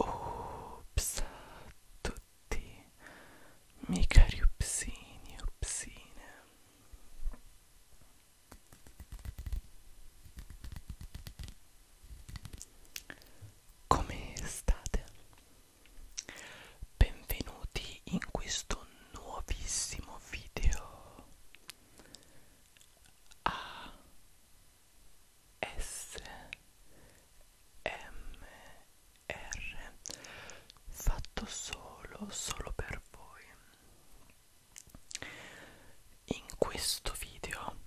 Ups tutti miei cari upsini, upsine come state? Benvenuti in questo nuovissimo video A S M R fatto solo solo per voi in questo video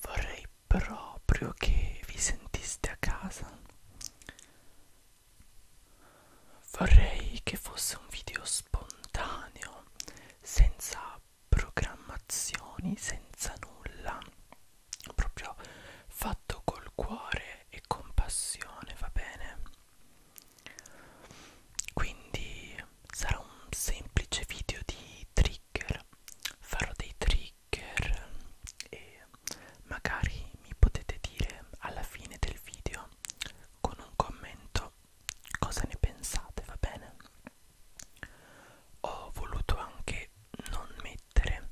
vorrei proprio che vi sentiste a casa. Vorrei che fosse un video spontaneo, senza programmazioni, senza nulla, proprio fatto col cuore e con passione, va bene? quindi sarà un semplice video di trigger farò dei trigger e magari mi potete dire alla fine del video con un commento cosa ne pensate va bene ho voluto anche non mettere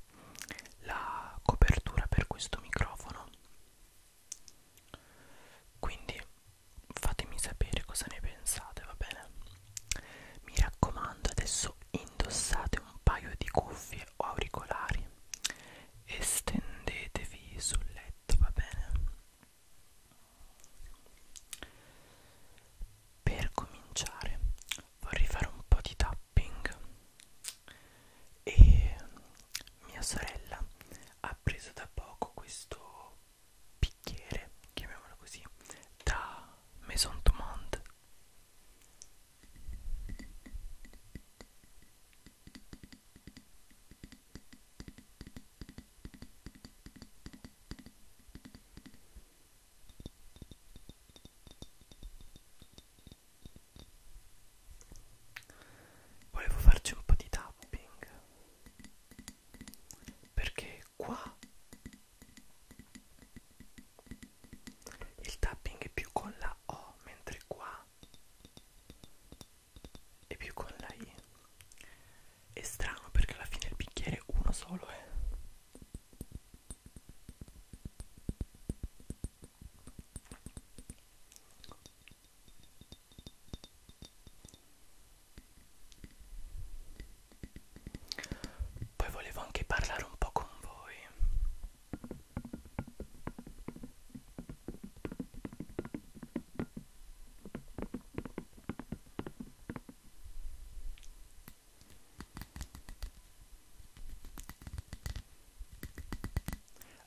la copertura per questo microfono quindi fatemi sapere cosa ne pensate, va bene? Mi raccomando, adesso indossate un paio di cuffie o auricolari e stendetevi sul letto, va bene? Per cominciare vorrei fare un po' di tapping e mia sorella ha preso da poco questo bicchiere, chiamiamolo così, da Maison du Monde. Volevo farci un po' di tapping perché qua il tapping è più con la O mentre qua è più con la I è strano perché alla fine il bicchiere è uno solo eh. Poi volevo anche parlare un po' con voi.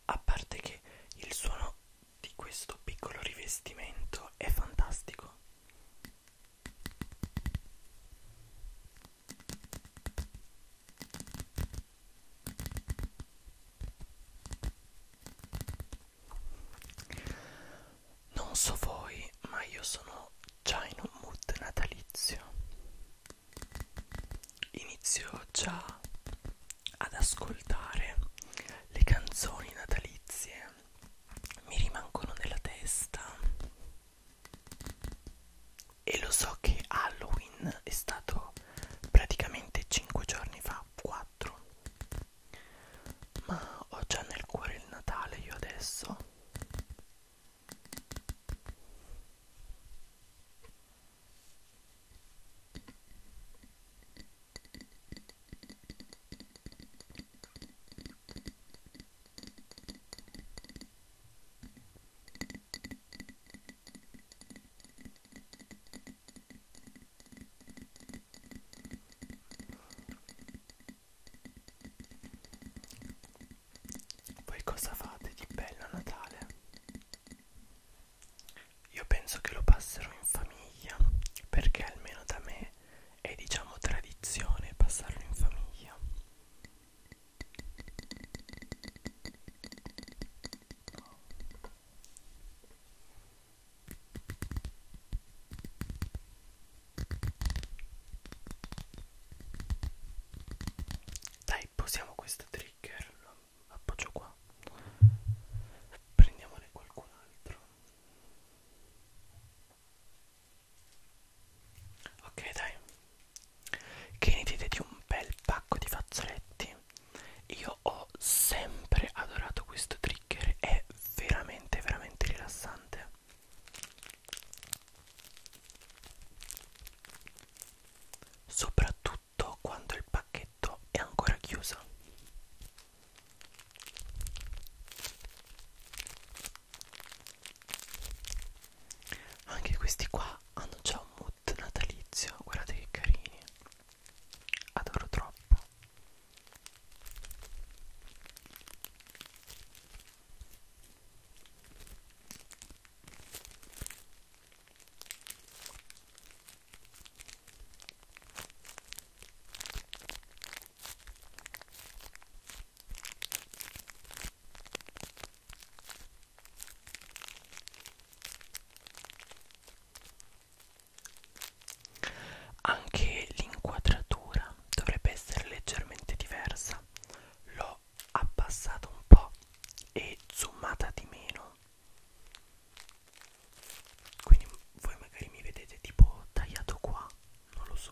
A parte che il suono di questo piccolo rivestimento è fantastico. Non so voi, ma io sono già in un mood natalizio. Inizio già ad ascoltare le canzoni natalizie mi rimangono nella testa e lo so che Halloween è stato praticamente 5 giorni fa 4 ma ho già nel cuore il Natale io adesso voi cosa fate di bello a Natale? Io penso che lo passero in famiglia perché almeno da me è diciamo tradizione passarlo in famiglia. Dai, posiamo questo trigger, lo appoggio qua prendiamone qualcun altro ok dai che ne dite di un bel pacco di fazzoletti io ho sempre adorato questo trigger è veramente veramente rilassante soprattutto tutto quando il pacchetto è ancora chiuso. Anche questi qua hanno già un mood natalizio, guardate che carini. Adoro troppo. Anche l'inquadratura dovrebbe essere leggermente diversa. L'ho abbassata un po' e zoomata di meno quindi voi magari mi vedete tipo tagliato qua non lo so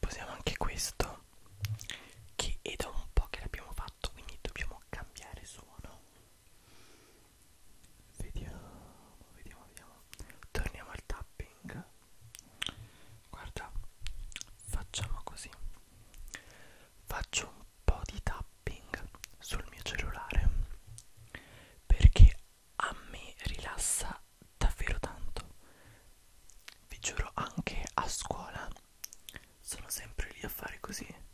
Possiamo anche questo che è da un po' che l'abbiamo fatto quindi dobbiamo cambiare suono vediamo vediamo vediamo torniamo al tapping guarda facciamo così faccio un po' di tapping sul mio cellulare perché a me rilassa davvero tanto vi giuro anche a scuola sono sempre lì a fare così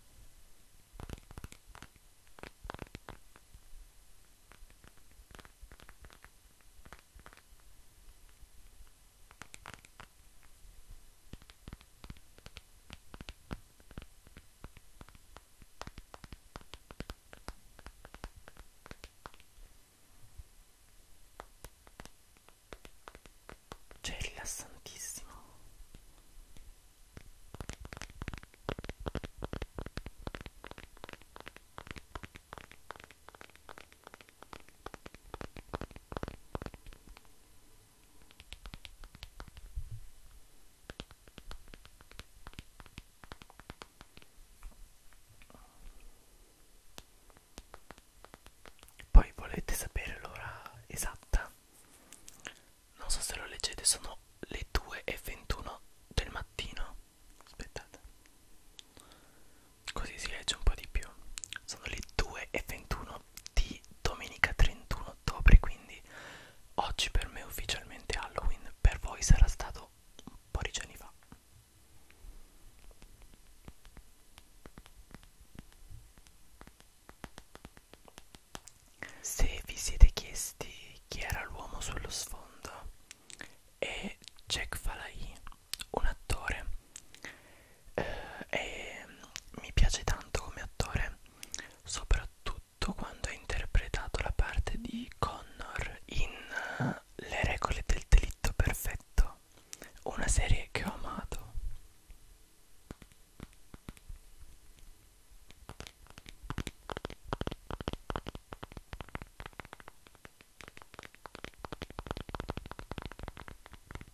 cioè, è rilassantissimo. Poi volete sapere l'ora esatta? Non so se lo leggete, sono le 2 e 21 del mattino. Aspettate così si legge un po' di più sono le 2 e 21 di domenica 31 ottobre quindi oggi per me è ufficialmente Halloween per voi sarà stato un po' di giorni fa se vi siete chiesti chi era l'uomo sullo sfondo è Jack Falai un attore eh, e mi piace tanto come attore soprattutto quando ha interpretato la parte di Connor in eh, Le regole del delitto perfetto una serie che ho amato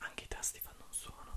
Anche i tasti fanno un suono.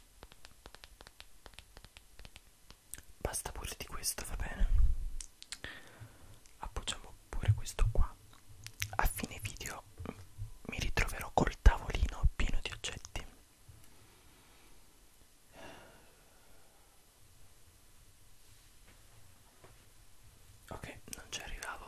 Basta pure di questo, va bene? Appoggiamo pure questo qua. A fine video mi ritroverò col tavolino pieno di oggetti. Ok, non ci arrivavo.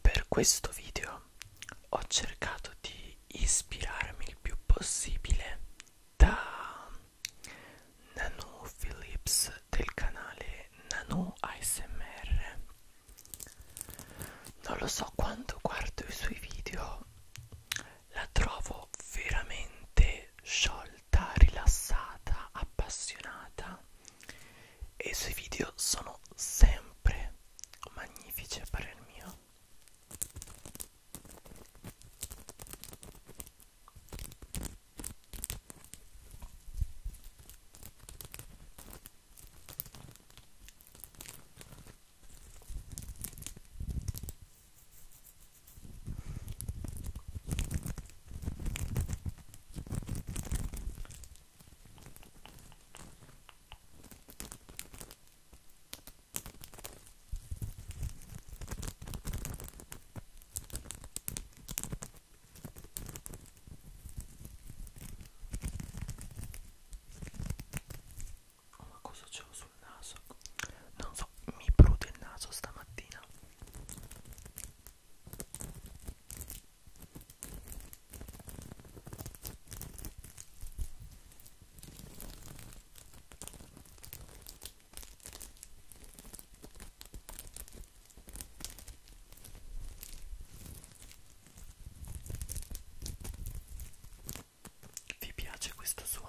Per questo video ho cercato di ispirarmi il più possibile da Nano Phillips del canale Nano ASMR. Non lo so quando guardo i suoi video, la trovo veramente sciolta molta, rilassata, appassionata e i suoi video sono sempre magnifici a parer mio. Oh, ma cosa c'ho sul naso? Non so, mi prude il naso stamattina vi piace questo suono?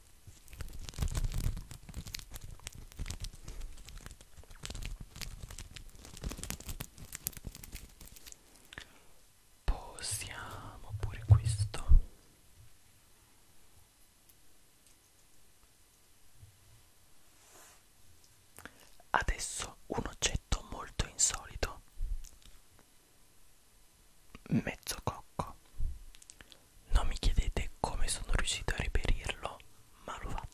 Possiamo pure questo. Adesso un oggetto molto insolito. Mezzo cocco. Non mi chiedete come sono riuscito a reperirlo, ma l'ho fatto.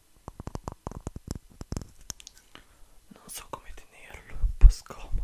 non so come tenerlo è un po' scomodo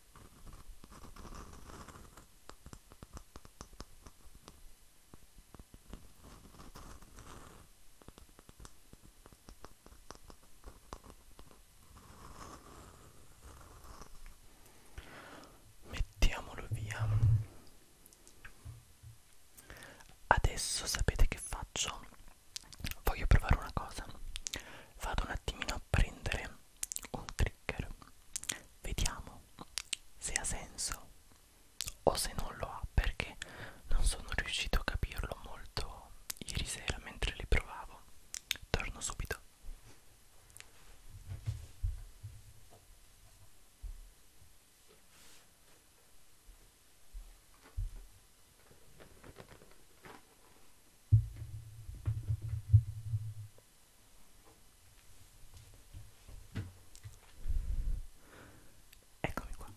Mettiamolo via. Adesso sapete che faccio? Voglio provare una cosa. Vado un attimino a prendere un trigger vediamo se ha senso o se non lo ha perché non sono riuscito a capirlo molto ieri sera mentre li provavo torno subito Eccomi qua.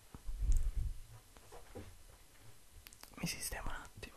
Mi sistemo un attimo.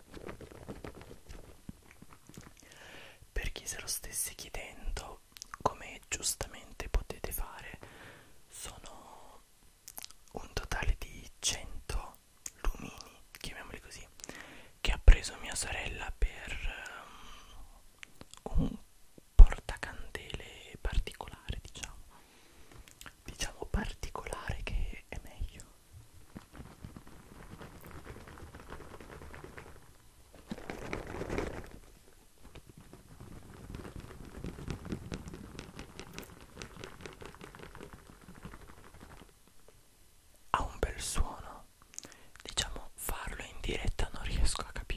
Per chi se lo stesse chiedendo, come giustamente potete fare, sono un totale di 100 lumini, chiamiamoli così, che ha preso mia sorella per um, un portacandele particolare, diciamo. Diciamo particolare che è meglio. Ha un bel suono, diciamo farlo in diretta non riesco a capire.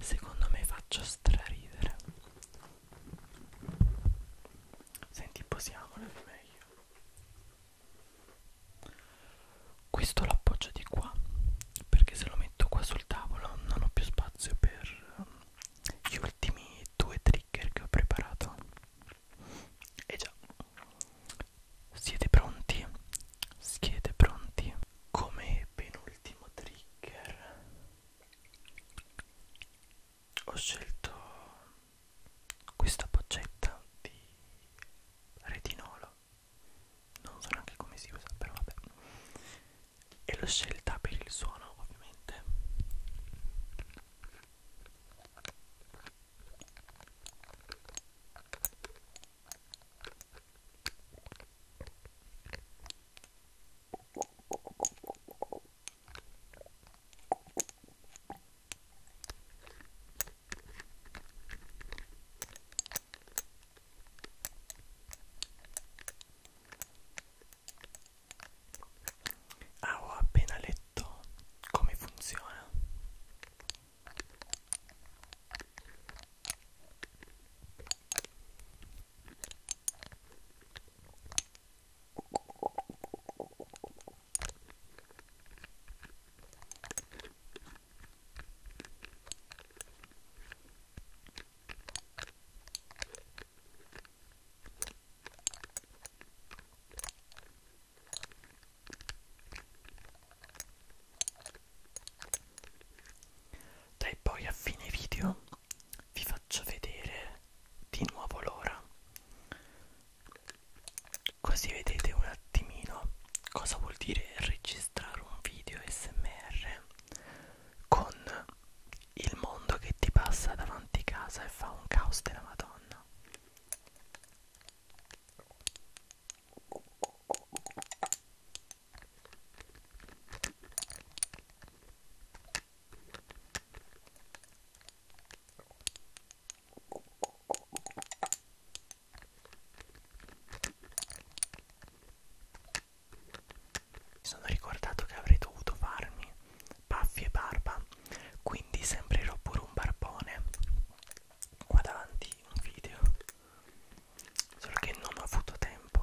Secondo me faccio straridere. Senti, posiamole meglio questo lo appoggio di qua perché se lo metto qua sul tavolo non ho più spazio per ehm, gli ultimi due trigger che ho preparato e già siete pronti siete pronti come penultimo trigger ho scelto questa boccetta di retinolo non so neanche come si usa però vabbè e l'ho scelta per il suono ovviamente Ah, ho appena letto come funziona. Dai, poi a fine video vi faccio vedere di nuovo l'ora così vedete un attimino cosa vuol dire registrare un video smr con il mondo che ti passa davanti a casa e fa un caos della madonna mi sono ricordato che avrei dovuto farmi baffi e barba, quindi sembrerò pure un barbone qua davanti un video, solo che non ho avuto tempo.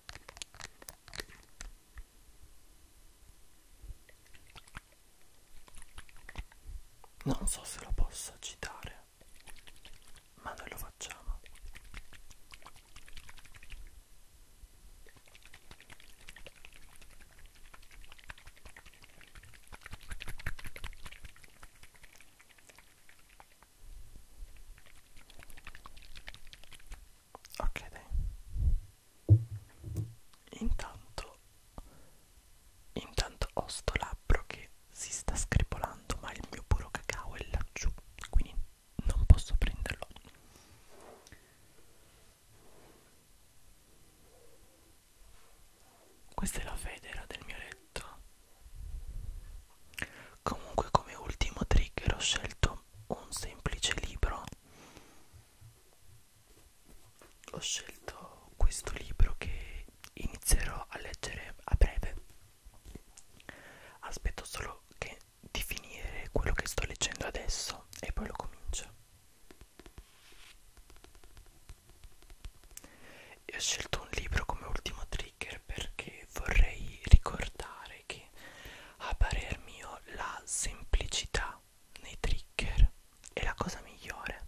Non so se lo posso citare, ma noi lo facciamo ok dai intanto intanto ho sto labbro che si sta scripolando ma il mio puro cacao è laggiù quindi non posso prenderlo questa è la federa del mio letto comunque come ultimo trigger ho scelto un semplice libro ho scelto questo libro che inizierò a leggere a breve aspetto solo che di finire quello che sto leggendo adesso e poi lo comincio e ho scelto un libro come ultimo trigger perché vorrei ricordare carichi a parer mio la semplicità nei trigger è la cosa migliore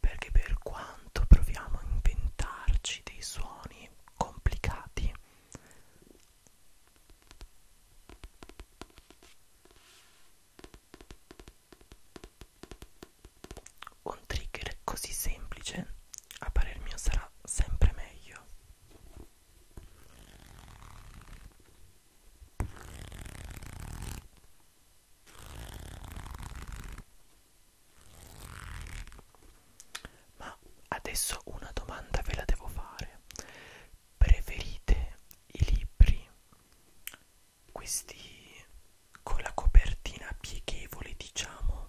perché per quanto proviamo a inventarci dei suoni complicati un trigger così semplice a parer mio sarà sempre meglio ma adesso una domanda ve la devo fare. Preferite i libri questi con la copertina pieghevole, diciamo,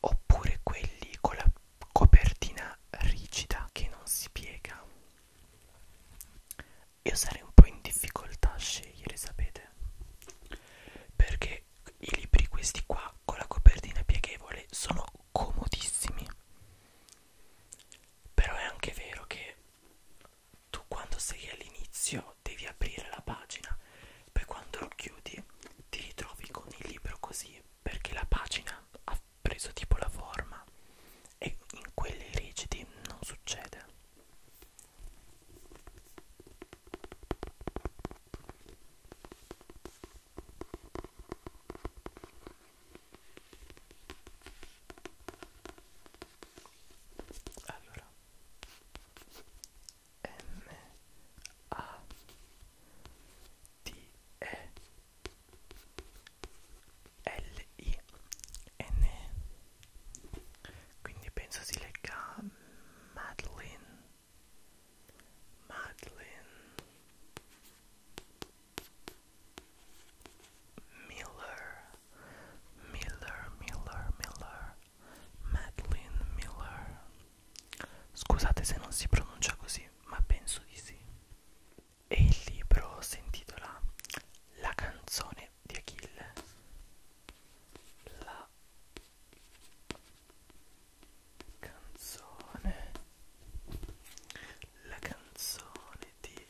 oppure quelli con la copertina rigida che non si piega io sarei un po' in difficoltà a scegliere sapete perché i libri questi qua con la copertina pieghevole sono comodissimi però è anche vero che tu quando sei all'inizio devi aprire la pagina poi quando lo chiudi ti ritrovi con il libro così perché la pagina ha preso tipo la forma e in quelli rigidi non succede allora M A T E l-I-N quindi penso si legga Madeline Madeline Miller Miller Miller Miller Madeline Miller Scusate se non si pronuncia così, ma penso di sì. E il libro si intitola La canzone di Achille. La canzone. La canzone di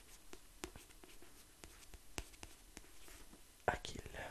Achille.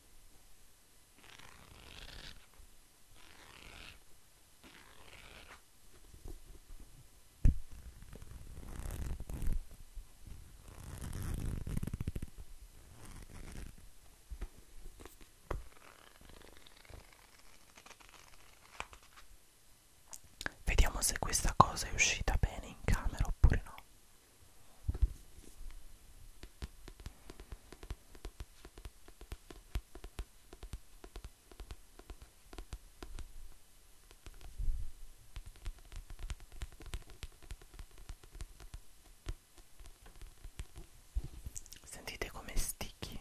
Vediamo se questa cosa è uscita bene in camera oppure no. Sentite come sticky.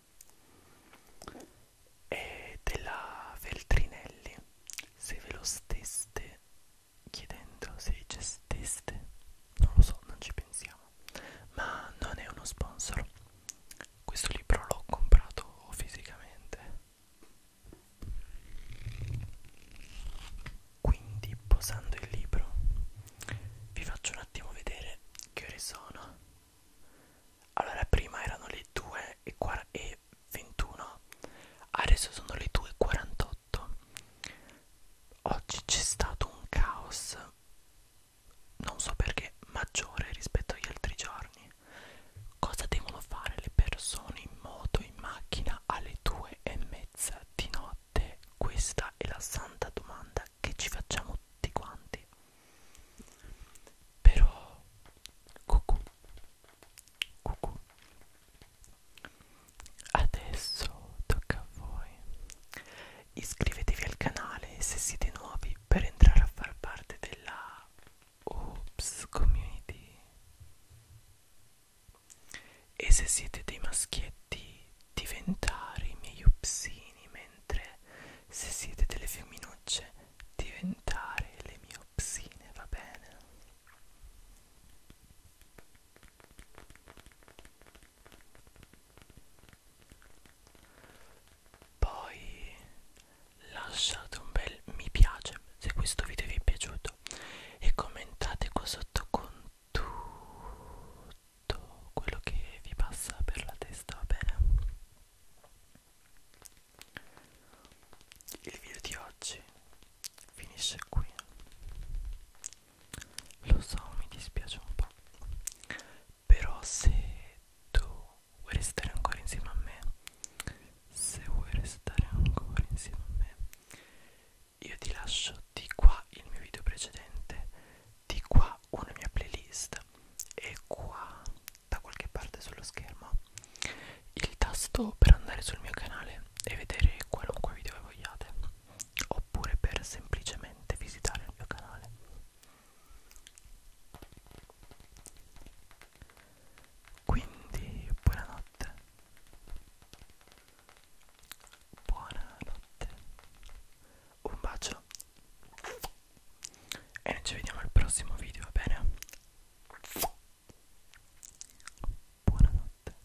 è della Feltrinelli se ve lo steste chiedendo se gesteste non lo so non ci pensiamo ma non è uno sponsor questo libro l'ho comprato fisicamente quindi posando il libro vi faccio un attimo vedere che ore sono allora prima erano le 2 e, e 21 adesso sono le 2 e 48 oggi c'è stato un caos non so perché maggiore rispetto agli altri giorni cosa devono fare le persone in moto in macchina alle 2 e mezza di notte questa è la santa domanda che ci facciamo tutti quanti però cucù cucù adesso tocca a voi iscrivetevi al canale se siete nuovi per entrare a far parte della Oops community e se siete dei maschietti diventare i miei upsini mentre mentre se siete delle femminucce diventare le mie opsine va bene poi lasciate un bel mi piace se questo video vi è piaciuto e commentate qua sotto con tutti tutto quello che vi passa per la testa, va bene? Il video di oggi finisce qui. Lo so, mi dispiace un po'. Però se tu vuoi restare ancora insieme a me, se vuoi restare ancora insieme a me, io ti lascio di qua il mio video precedente, di qua una mia playlist e qua da qualche parte sullo schermo il tasto per andare sul mio canale e vedere qualunque video vogliate oppure per semplicemente visitare il mio canale quindi buonanotte buonanotte un bacio e noi ci vediamo al prossimo video va bene buonanotte